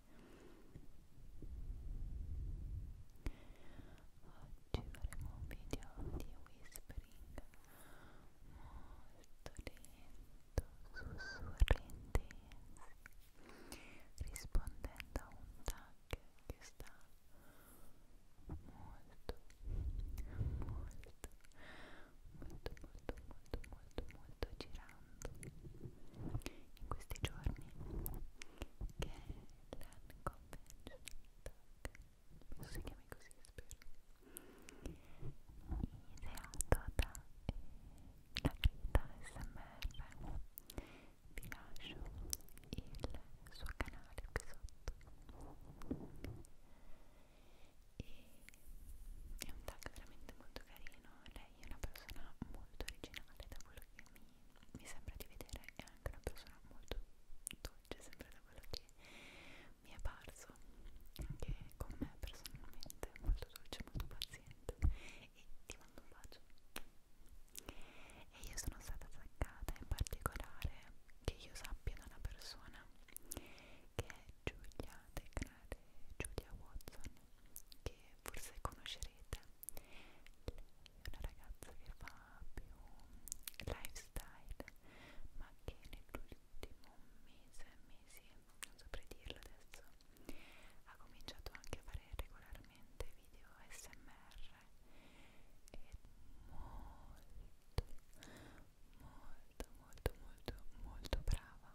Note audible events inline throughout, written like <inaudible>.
Oggi faremo un video di whispering molto lento, sussurri intensi, rispondendo a un tag che sta molto, molto, molto, molto, molto, molto, molto girando in questi giorni che l'hanno convention non si chiami così spero ideato da eh, la crita smr vi lascio il suo canale qui sotto e è un tag veramente molto carino lei è una persona molto originale da quello che mi mi sembra di vedere è anche una persona molto dolce, sempre da quello che mi è parso, anche con me personalmente, molto dolce, molto paziente e ti mando un bacio. E io sono stata attaccata in particolare, che io sappia, da una persona che è Giulia del canale Giulia Watson, che forse conoscerete lei è una ragazza che fa più lifestyle, ma che nell'ultimo mese, mesi, non saprei dirlo adesso, ha cominciato anche a fare regolarmente video SMR e molto, molto, molto, molto, molto brava.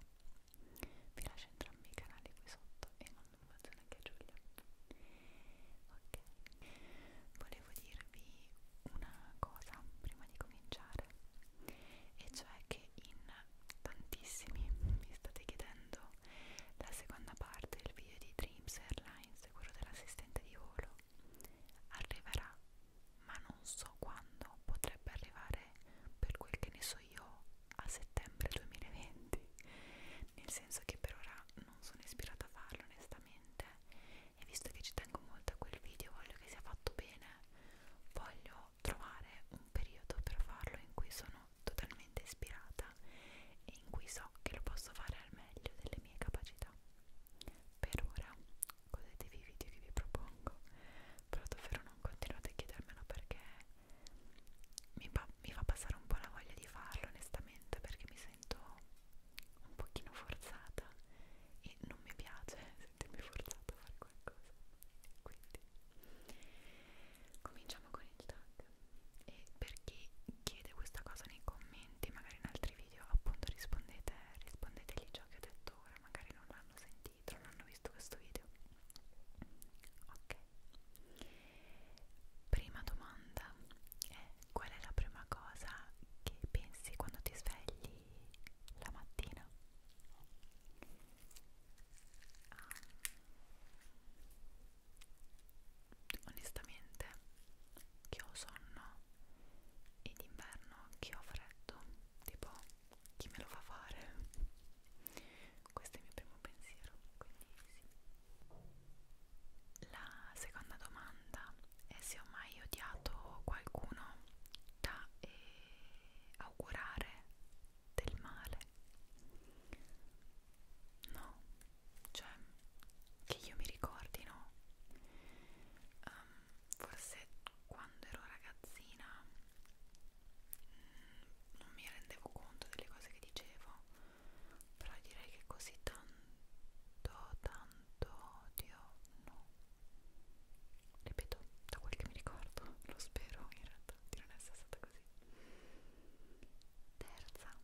Vi lascio entrambi i canali qui sotto e non un bacione anche a Giulia ok volevo dirvi una cosa prima di cominciare e cioè che in tantissimi mi state chiedendo la seconda parte del video di Dreams Airlines quello dell'assistente di volo arriverà ma non so quando potrebbe arrivare per quel che ne so fatto io a settembre 2020 nel senso che per ora non sono ispirata a farlo onestamente e visto che ci tengo molto a quel video voglio che sia fatto bene voglio trovare un periodo per farlo in cui sono totalmente ispirata e in cui so che lo posso fare al meglio delle mie capacità per ora godetevi i video che vi propongo però davvero non continuate a chiedermelo perché mi, mi fa passare un po' la voglia di farlo onestamente perché mi sento un pochino forzata e non mi piace sentirmi forzata a fare qualcosa quindi cominciamo con il tag e per chi chiede questa cosa nei commenti magari in altri video appunto rispondete rispondetegli ciò che ho detto ora magari non l'hanno sentito non hanno visto questo video Ok. Prima domanda è qual è la prima cosa che pensi quando ti svegli la mattina? Um, onestamente che ho sonno e d'inverno che ho freddo, tipo chi me lo fa fare? questo è il mio primo pensiero, quindi sì. La seconda domanda è se ho mai odiato qualcuno da eh, augurare del male. No, cioè che io mi ricordi, no? Um, forse quando ero ragazzina non mi rendevo conto delle cose che dicevo però direi che così tanto tanto odio no ripeto da quel che mi ricordo lo spero in realtà di non essere stata così terza terza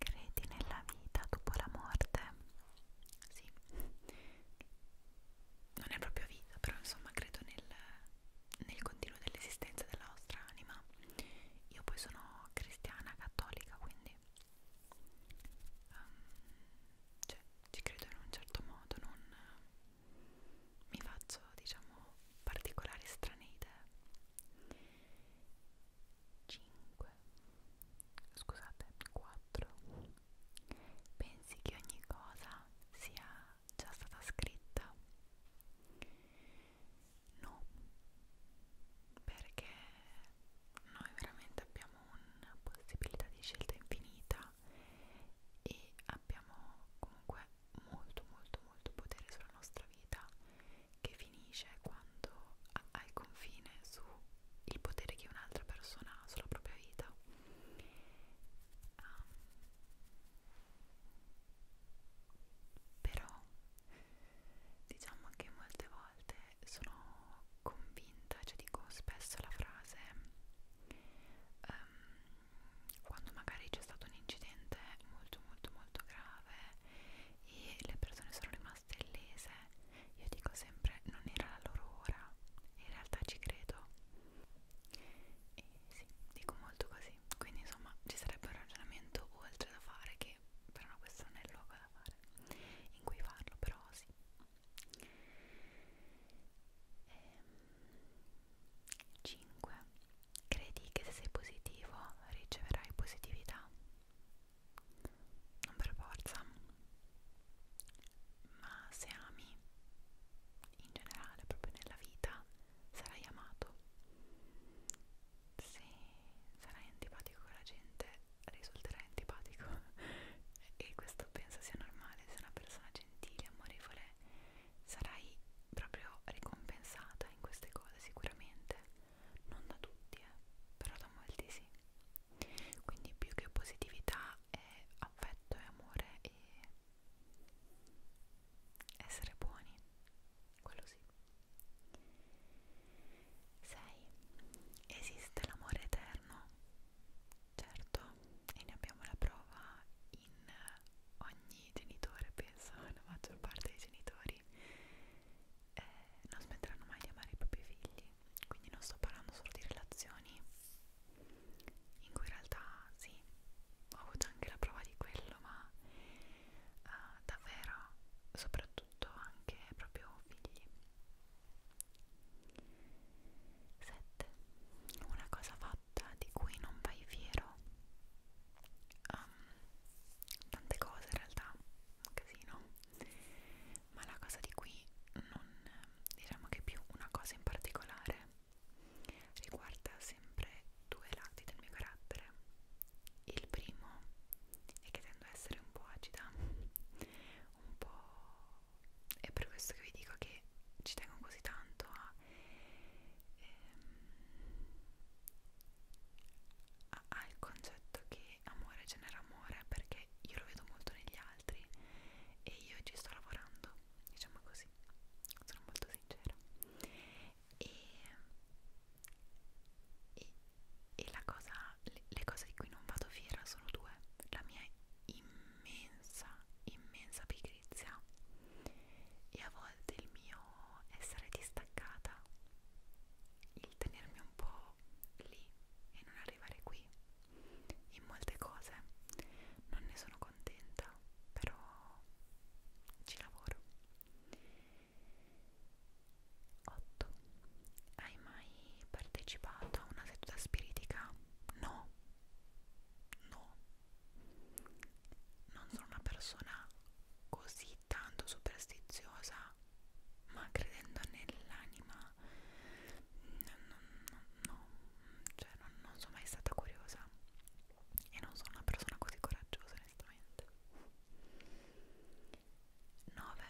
Credi nella vita dopo la morte? Sì, non è proprio vita, però insomma credo nel, nel continuo dell'esistenza della nostra anima. Io poi sono cristiana cattolica, quindi um, cioè, ci credo in un certo modo, non mi faccio diciamo particolari strane idee 5 scusate 4 pensi che ogni cosa sia già stata scritta no perché noi veramente abbiamo una possibilità di scelta infinita e abbiamo comunque molto molto molto potere sulla nostra vita che finisce quando hai confine su il potere che un'altra persona ha sulla propria vita. Um, però diciamo che molte volte sono convinta, cioè dico spesso la frase um, quando magari c'è stato un incidente molto molto molto grave e le persone sono rimaste castellese io dico sempre non era la loro ora in realtà ci credo e sì, dico molto così quindi insomma ci sarebbe un ragionamento oltre da fare che però no, questo non è il luogo da fare in cui farlo però sì ehm, 5 credi che se sei positivo riceverai positività non per forza ma se ami in generale proprio nella vita sarai amato se sarai antipatico con la gente risulterai antipatico <laughs> e questo penso sia normale se una persona gentile, amorevole sarai proprio ricompensata in queste cose sicuramente non da tutti eh, però da molti sì quindi più che positività è affetto e amore e essere buoni quello sì 6 esiste l'amore eterno certo e ne abbiamo la prova in ogni genitore penso <laughs> la maggior parte dei genitori eh, non smetteranno mai di amare i propri figli quindi non sto parlando solo di relazioni in cui in realtà sì ho avuto anche la prova di quello ma eh, davvero soprattutto anche proprio figli 7 una cosa fatta di cui non vai fiero um, tante cose in realtà un casino ma la cosa di qui non diciamo che più una cosa in particolare riguarda sempre due lati del mio carattere il primo è che tendo a essere un po' agita un po' è per questo che vi dico che ci tengo così tanto a, ehm, a, al concetto che che amore genera amore perché io lo vedo molto negli altri e io ci sto lavorando, diciamo così, sono molto sincera. E, e, e la cosa, le, le cose di cui non vado fiera sono due: la mia immensa, immensa pigrizia e a volte il mio essere distaccata, il tenermi un po' lì e non arrivare qui in molte cose non ne sono contenta però ci lavoro 8 hai mai partecipato a una seduta spiritica? no no non sono una persona così tanto superstiziosa ma credendo nell'anima no, no, no, cioè non, non sono mai stata curiosa e non sono una persona così coraggiosa onestamente 9.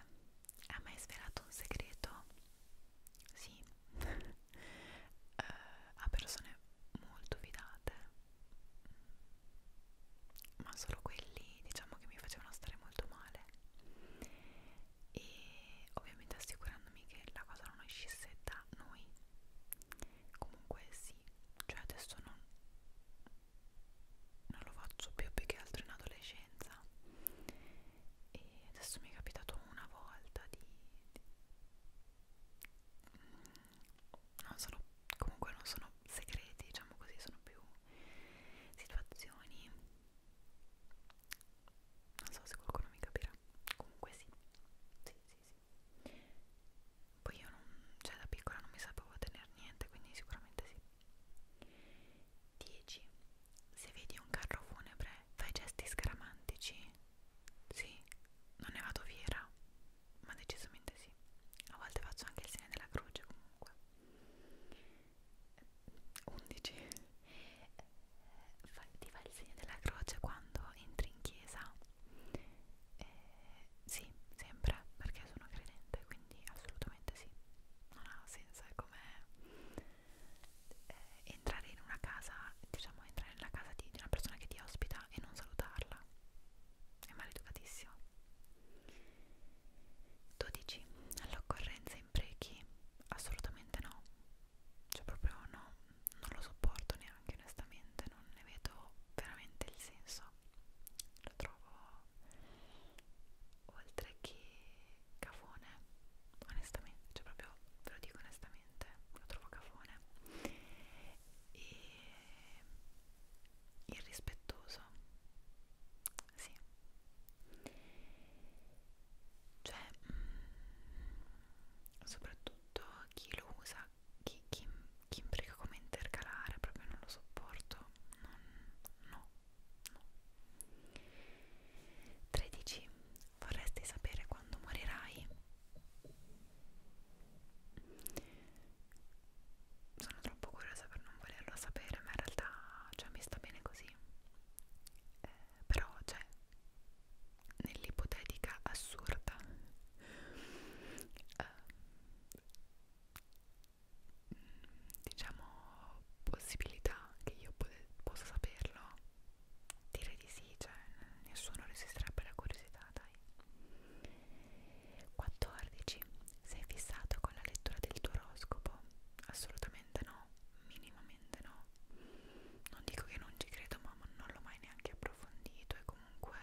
Ha mai svelato un segreto? Sì uh, <laughs> a persone molto fidate ma solo quelli diciamo che mi facevano stare molto male e ovviamente assicurandomi che la cosa non uscisse da noi comunque sì cioè adesso non, non lo faccio più più che altro in adolescenza e adesso mi è capitato una volta di, di mm, non sono comunque non sono segreti diciamo così sono più situazioni non so se qualcuno mi capirà comunque sì sì sì sì poi io non, cioè da piccola non mi sapevo tenere niente quindi sicuramente sì 10 se vedi un carro funebre fai gesti scaramantici sì non ne vado fiera ma decisamente sì a volte faccio anche il segno della croce comunque 11 ti fa il segno della croce quando entri in chiesa eh, sì sempre perché sono credente quindi assolutamente sì non ha senso è come eh, entrare in una casa diciamo entrare nella casa di, di una persona che ti ospita e non salutarla è maleducatissimo 12. All'occorrenza imprechi? Assolutamente no. Cioè proprio no, non lo sopporto neanche onestamente, non ne vedo veramente il senso. Lo trovo oltre che cafone, onestamente, cioè proprio ve lo dico onestamente, lo trovo cafone. E irrispettoso sì cioè mh, mm, soprattutto chi lo usa chi, chi, chi imbrica come intercalare proprio non lo sopporto non, no no 13 vorresti sapere quando morirai sono troppo curiosa per non volerlo sapere, ma in realtà cioè, mi sta bene così. Eh, però, cioè, nell'ipotetica assurda, eh, diciamo, possibilità che io possa saperlo, direi di sì, cioè, nessuno resisterebbe alla curiosità, dai. 14. Sei fissato con la lettura del tuo oroscopo? assolutamente no, minimamente no. Non dico che non ci credo, ma non l'ho mai neanche approfondito e comunque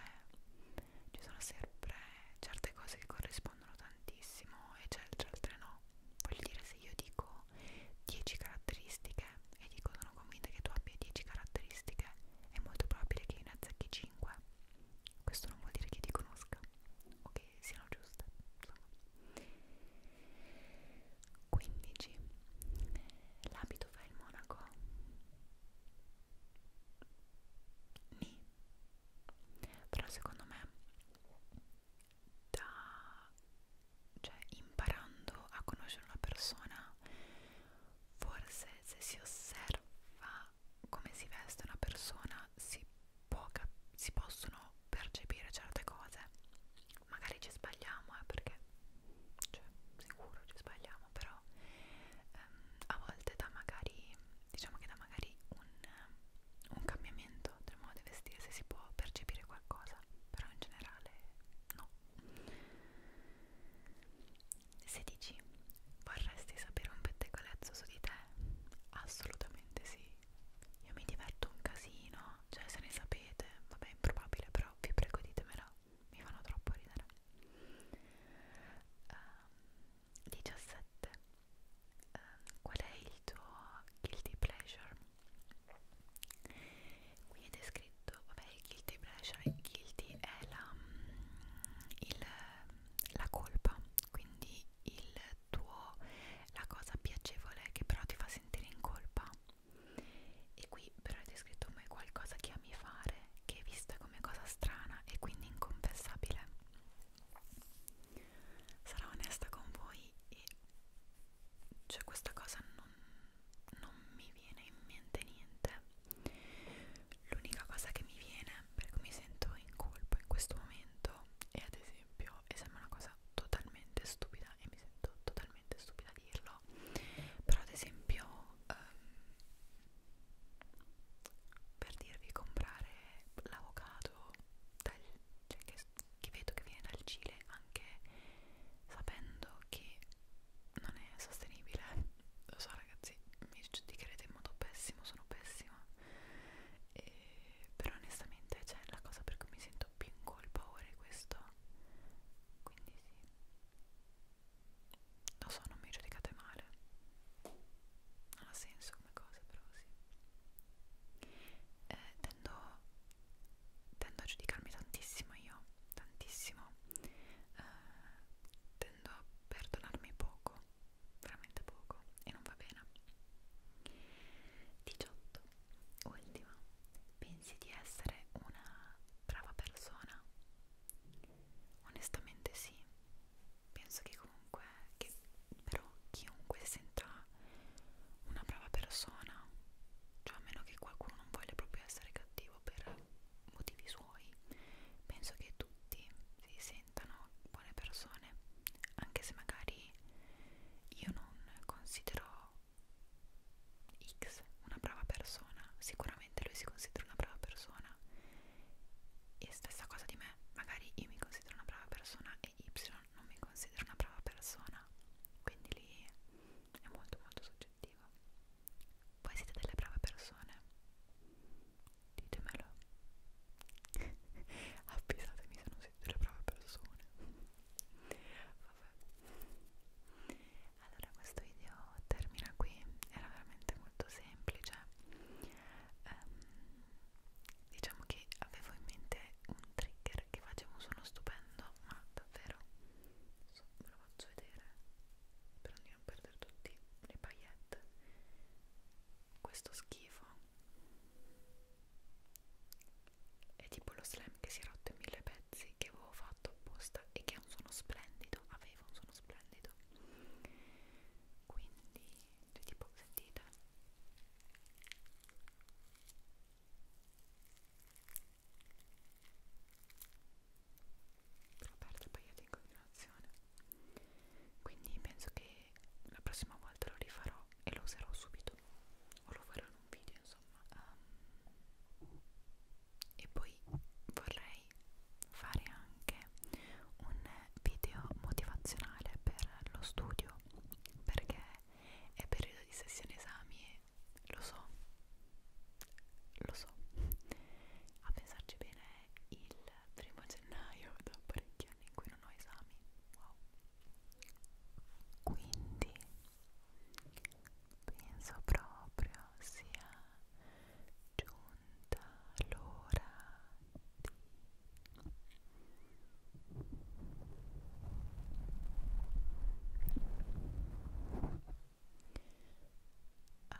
ci sono sempre certe cose che corrispondono tantissimo e certe altre no. Voglio dire, se io dico 10 caratteristiche e dico sono convinta che tu abbia 10 caratteristiche, è molto probabile che io ne azzecchi 5. Questo non vuol dire che ti conosca, ok? che siano giuste insomma. 15 l'abito fa il monaco ni però secondo me da cioè imparando a conoscere una persona forse se si osserva come si veste una persona si, può si possono percepire certe cose. Magari ci sbagliamo, eh, perché cioè, sicuro ci sbagliamo, però ehm, a volte da magari diciamo che da magari un, un cambiamento del modo di vestirsi si può percepire qualcosa, però in generale no. 16. Vorresti sapere un pettegolezzo su di te? Assolutamente sì io mi diverto un casino, cioè se ne sapete, vabbè è improbabile però vi prego ditemelo, mi fanno troppo ridere. Um, 17. Um, qual è il tuo guilty pleasure? Qui è descritto, vabbè il guilty pleasure, il guilty è la, mm, il, la colpa, quindi il tuo la cosa piacevole che però ti fa sentire in colpa e qui però è descritto come qualcosa che ami fare che è vista come cosa strana e quindi inconfessabile sarò onesta con voi e cioè questa cosa non, non mi viene in mente niente l'unica cosa che mi viene per cui mi sento in colpa in questo momento è ad esempio esempio e sembra una cosa totalmente stupida e mi sento totalmente stupida a dirlo però ad esempio um, per dirvi comprare l'avocado cioè che, che vedo che viene dal Cile anche sapendo che non è sostenibile lo so ragazzi mi giudicherete in modo pessimo sono pessima e, però onestamente c'è cioè, la cosa per cui mi sento più in colpa ora è questo quindi sì lo so non mi giudicate male non ha senso come cosa però sì eh, tendo, tendo a giudicarmi tantissimo io tantissimo eh, tendo a perdonarmi poco veramente poco e non va bene 18 ultima pensi di essere una brava persona onestamente sì penso che comunque che però chiunque senta una brava persona cioè a meno che qualcuno non voglia proprio essere cattivo per motivi suoi penso che tutti si rappresentano buone persone, anche se magari io non considero X una brava persona, sicuramente lui si considera una brava persona e stessa cosa di me, magari io mi considero una brava persona e Y non mi considera una brava persona, quindi lì è molto molto soggettivo. Voi siete delle brave persone ditemelo <laughs> avvisatemi se non siete le brave persone vabbè allora questo video termina qui era veramente molto semplice um, diciamo che avevo in mente un trigger che faceva un suono stupendo ma davvero so, ve lo faccio vedere spero di non perdere tutti le paillette questo schifo è tipo lo slime che si è rotto in mille pezzi che avevo fatto apposta e che ha un suono splendido, aveva un suono splendido. Quindi, cioè, tipo, sentite. L'ho aperto e poi io in continuazione quindi penso che la prossima volta lo rifarò e lo userò subito o lo farò in un video insomma um, e poi vorrei fare anche un video motivazionale per lo studio perché è periodo di sessione esami e lo so lo so <laughs> a pensarci bene il primo gennaio da parecchi anni in cui non ho esami wow quindi penso proprio sia giunta l'ora di aprire ah,